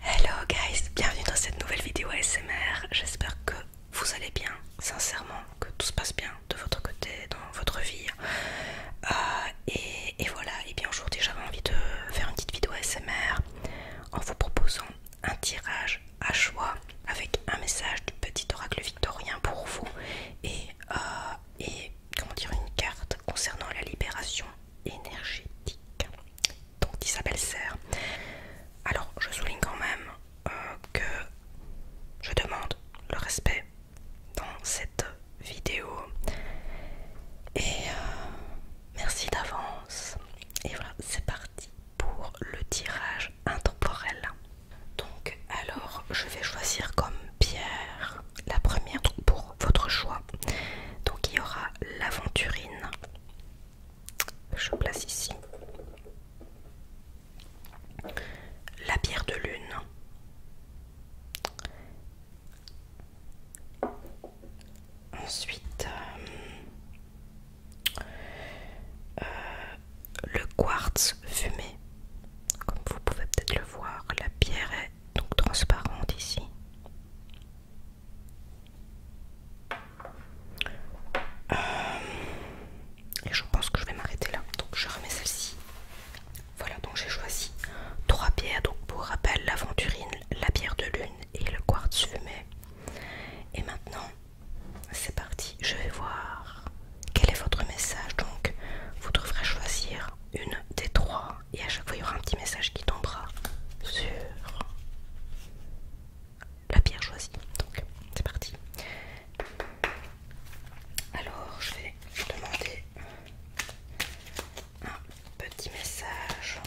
Hello guys, bienvenue dans cette nouvelle vidéo ASMR. J'espère que vous allez bien, sincèrement, que tout se passe bien de votre côté, dans votre vie. Euh, et, voilà, et bien aujourd'hui j'avais envie de faire une petite vidéo ASMR en vous proposant un tirage à choix avec un message du petit oracle victorien pour vous et, euh, et comment dire une carte concernant la libération énergétique donc Isabelle Serre. Alors, je souligne quand même euh, que je demande le respect dans cette vidéo. Et euh, merci d'avance. Et voilà, c'est parti pour le tirage intemporel. Donc, alors, je vais choisir comme pierre la première pour votre choix. Donc, il y aura l'aventurine je place ici la pierre de lune ensuite euh, euh, le quartz fumé comme vous pouvez peut-être le voir la pierre est donc transparente ici euh, et je pense que je vais m'arrêter là. Donc je remets celle-ci. Voilà, donc j'ai choisi trois pierres Donc pour rappel, l'aventurine, la bière de lune et le quartz fumé. Et maintenant, c'est parti. Je vais voir quel est votre message. Donc vous devrez choisir une des trois et à chaque fois il y aura un petit message qui tombera sur la pierre choisie. Donc c'est parti. Alors je vais demander un petit message.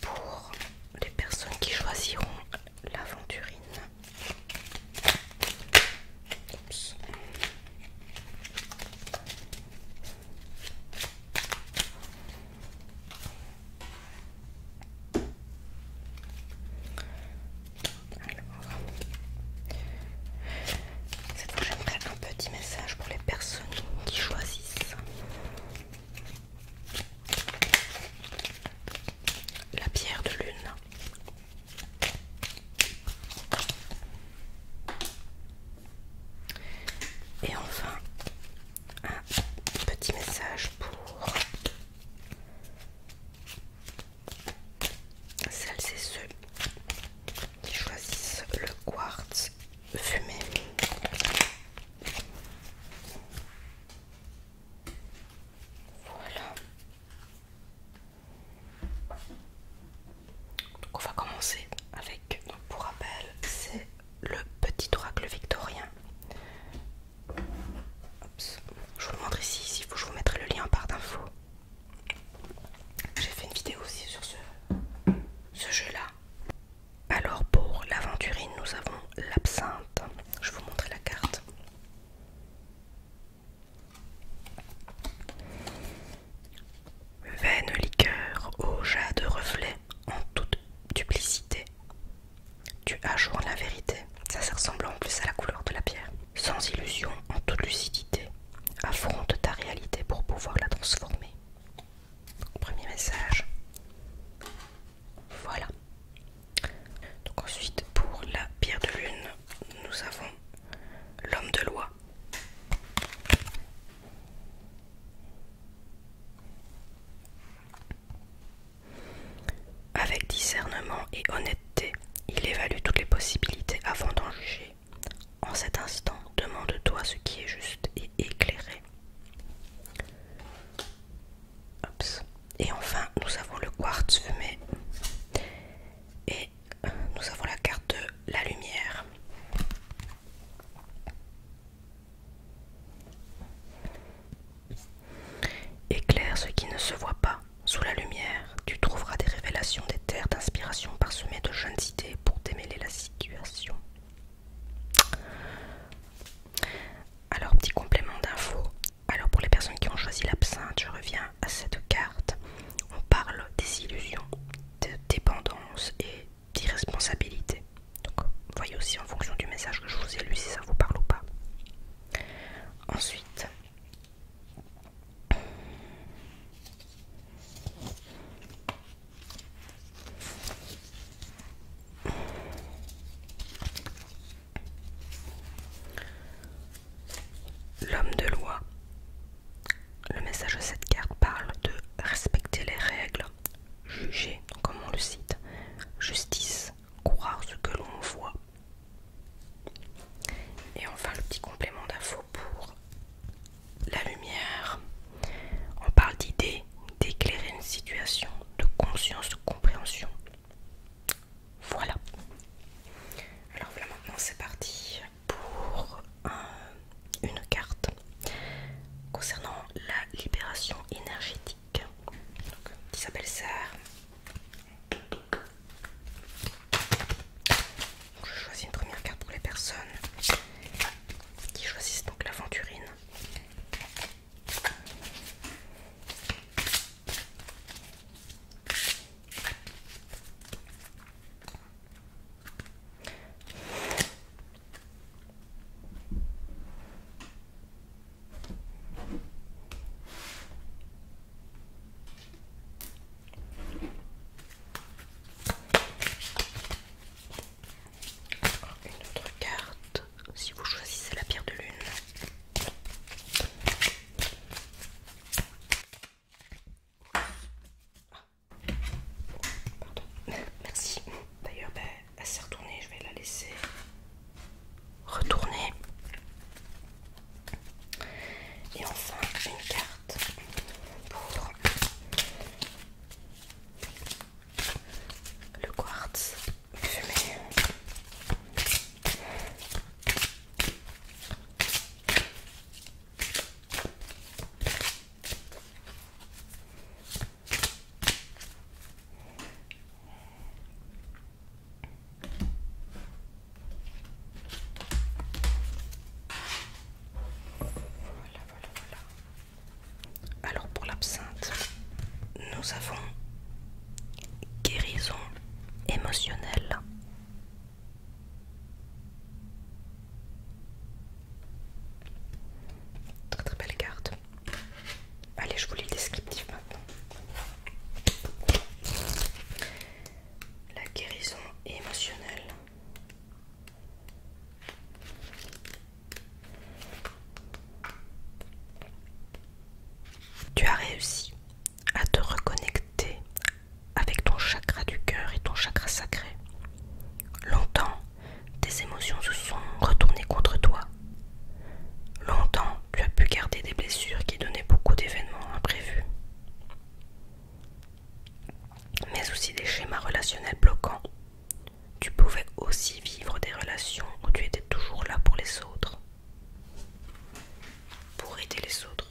Pour les personnes qui choisiront l'aventurine, cette fois j'aimerais un petit message pour les personnes qui choisissent la pierre de lune et enfin, un petit message pour celles et ceux qui choisissent le quartz fumé. Voilà on va commencer avec, pour rappel, c'est le petit oracle victorien. Je vous le montre ici, je vous mettrai le lien en barre d'infos. J'ai fait une vidéo aussi sur ce, jeu-là. Alors pour l'aventurine, nous avons l'absinthe. Je vais vous montrer la carte. Vaine liqueur, au jade de reflet, en toute duplicité. Tu ajournes la vérité, ça, ça ressemble en plus à la couleur de la pierre. Sans illusion, en toute lucidité, affronte ta réalité pour pouvoir la transformer. premier message. Voilà. ensuite pour la pierre de lune, nous avons l'homme de loi. Avec discernement et honnêteté, il évalue toutes les possibilités avant d'en juger. En cet instant, demande-toi ce qui est juste et éclairé. Et enfin, nous avons le quartz fumé. Et nous avons la carte de la lumière. Éclaire ce qui ne se voit pas. Sous la lumière, tu trouveras des révélations des terres d'inspiration parsemées de jeunes idées pour démêler la situation. Alors, petit complément d'info. Alors, pour les personnes qui ont choisi l'absinthe, je reviens à cette carte on parle des illusions, de dépendance et d'irresponsabilité. Donc voyez aussi en fonction du message que je vous ai lu si ça vous parle ou pas. Ensuite, L'homme de loi. Le message de cette carte parle de respecter les règles, juger, comme on le cite, justice, croire ce que l'on voit. Et enfin le petit complément d'info pour la lumière. On parle d'idée, d'éclairer une situation, de conscience, de compréhension. Voilà. Alors voilà maintenant c'est parti pour une carte concernant la libération énergétique qui s'appelle ça. je choisis une première carte pour les personnes qui choisissent donc l'aventurine. Une autre carte si vous choisissez la pierre de lune. Pardon. Merci. D'ailleurs, bah, elle s'est retournée, je vais la laisser retourner. Et enfin, une carte pour le quartz fumé. Alors pour l'absinthe, nous avons guérison émotionnelle Très très belle carte. Allez, je vous lis le descriptif maintenant. La guérison émotionnelle. Tu as réussi à te reconnecter avec ton chakra du cœur et ton chakra sacré. Longtemps, tes émotions se sont retournées contre toi. Longtemps, tu as pu garder des blessures qui donnaient beaucoup d'événements imprévus. Mais aussi des schémas relationnels bloquants. Tu pouvais aussi vivre des relations où tu étais toujours là pour les autres, pour aider les autres.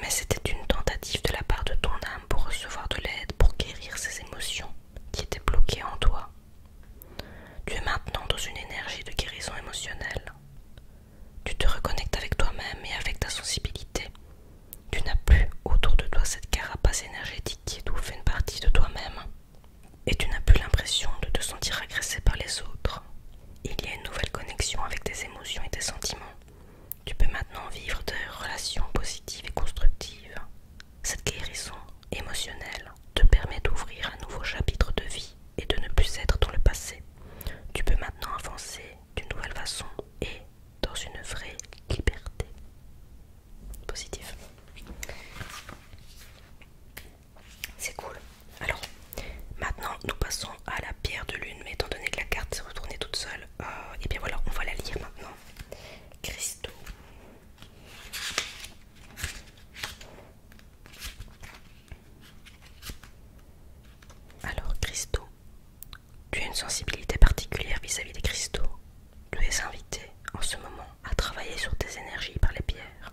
Mais c'était une tentative de la part de ton âme pour recevoir de l'aide, pour guérir ces émotions qui étaient bloquées en toi. Tu es maintenant dans une énergie de guérison émotionnelle. Tu te reconnectes avec toi-même et avec ta sensibilité. Tu n'as plus autour de toi cette carapace énergétique qui fait une partie de toi-même et tu n'as plus l'impression de te sentir agressé par les autres. Il y a une nouvelle connexion avec tes émotions et tes sentiments. Tu peux maintenant vivre des relations positives et constructives. Cette guérison émotionnelle te permet d'ouvrir un nouveau chapitre de vie et de ne plus être dans le passé. Tu peux maintenant avancer d'une nouvelle façon et dans une vraie liberté. positive. C'est cool. Alors, maintenant, nous passons à la pierre de lune. Mais étant donné que la carte s'est retournée toute seule, et euh, eh bien voilà, on va la lire maintenant. cristaux Alors, Christo, tu as une sensibilité particulière vis-à-vis -vis des cristaux. Tu es invité en ce moment à travailler sur tes énergies par les pierres.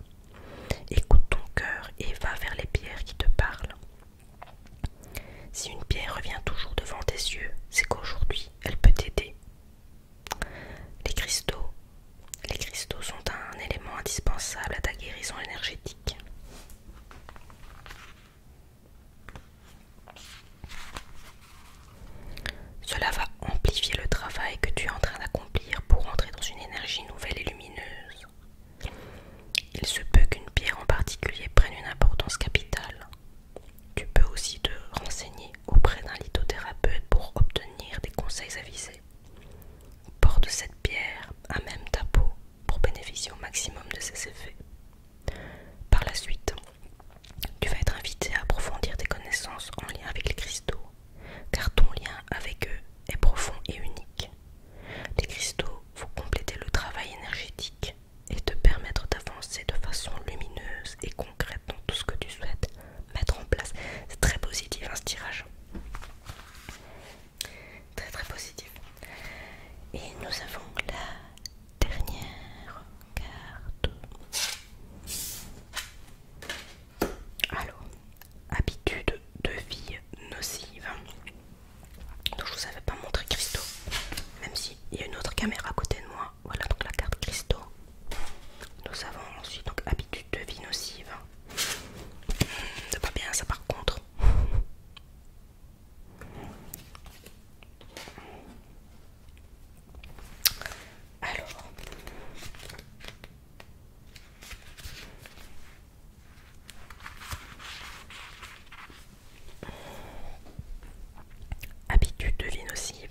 Écoute ton cœur et va vers les pierres qui te parlent. Si une pierre revient toujours devant tes yeux, c'est qu'aujourd'hui elle peut t'aider. Les cristaux. Les cristaux sont un élément indispensable à ta guérison énergétique. Cela va amplifier le travail que tu es en train d'accomplir pour entrer dans une énergie nouvelle et lumineuse. Il se peut qu'une pierre en particulier prenne une importance capitale. Tu peux aussi te renseigner auprès d'un lithothérapeute pour obtenir des conseils avisés. Porte cette pierre à même ta peau pour bénéficier au maximum de ses effets. Par la suite, tu vas être invité à approfondir tes connaissances en lien avec les cristaux car ton lien avec eux est profond et unique. Les cristaux vont compléter le travail énergétique et te permettre d'avancer de façon lumineuse et concrète dans tout ce que tu souhaites mettre en place. C'est très positif hein, ce tirage. Très très positif. Et nous avons la dernière carte. Alors, habitude de vie nocive. Donc je vous avais pas montré Christo, même s'il y a une autre caméra à côté de moi. Voilà donc la carte Christo. Nous avons ensuite donc habitude de vie nocive. Hmm, c'est pas bien ça par contre. Alors, Habitudes de vie nocives.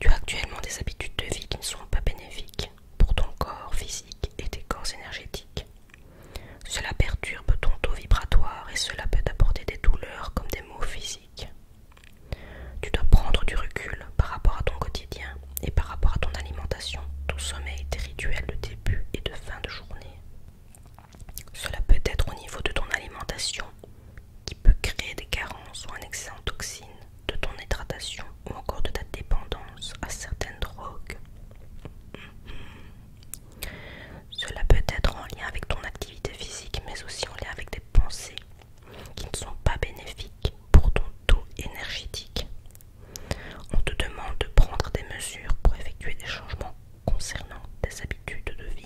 Tu as actuellement des habitudes de vie qui ne sont pas bénéfiques pour ton corps physique et tes corps énergétiques. Cela perturbe ton taux vibratoire et cela peut t'apporter des douleurs comme des maux physiques. Tu dois prendre du recul par rapport à ton quotidien et par rapport à ton alimentation, ton sommeil, tes rituels de début et de fin de journée. Cela peut être au niveau de ton alimentation qui peut créer des carences ou un excès en toxines, de ton hydratation ou encore de ta dépendance à certaines drogues. Cela peut être en lien avec ton activité physique mais aussi en lien avec des pensées qui ne sont pas bénéfiques pour ton taux énergétique. On te demande de prendre des mesures pour effectuer des changements concernant tes habitudes de vie.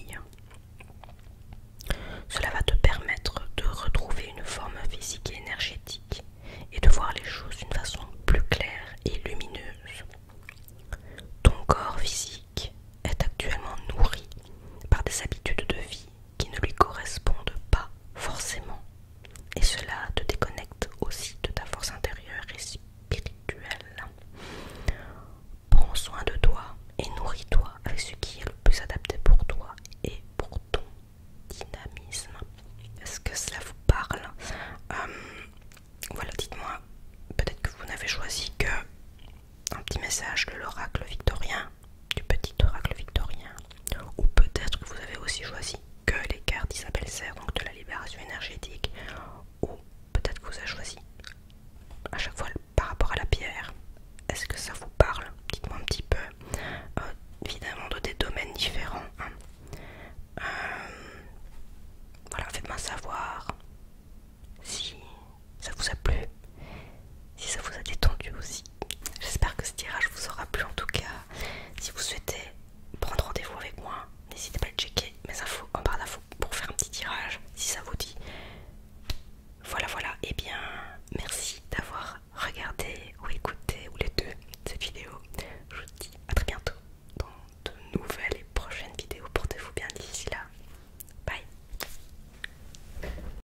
Cela va te permettre de retrouver une forme physique et énergétique et de voir les choses d'une façon plus claire et lumineuse. Ton corps physique est actuellement nourri par des habitudes de vie qui ne lui correspondent pas forcément. Et cela te déconnecte aussi de ta force intérieure et spirituelle. Prends soin de toi et nourris-toi avec ce qui est le plus adapté pour toi et pour ton dynamisme. Est-ce que cela vous parle euh, Voilà, dites-moi, peut-être que vous n'avez choisi que un petit message de l'oracle victorien du petit oracle victorien, ou peut-être que vous avez aussi choisi que les cartes Isabelle Serre, donc de la libération énergétique, ou peut-être que vous avez choisi à chaque fois par rapport à la pierre. Est-ce que ça vous parle Dites-moi un petit peu. Euh, évidemment, de des domaines différents. Hein. Euh, voilà, faites-moi savoir si ça vous a plu, si ça vous a détendu aussi. J'espère que ce tirage vous aura plu en tout cas. Si vous souhaitez prendre rendez-vous avec moi, n'hésitez pas à checker mes infos en barre d'infos pour faire un petit tirage si ça vous dit. Voilà, voilà. Et eh bien, merci d'avoir regardé ou écouté ou les deux cette vidéo. Je vous dis à très bientôt dans de nouvelles et prochaines vidéos. Portez-vous bien d'ici là. Bye.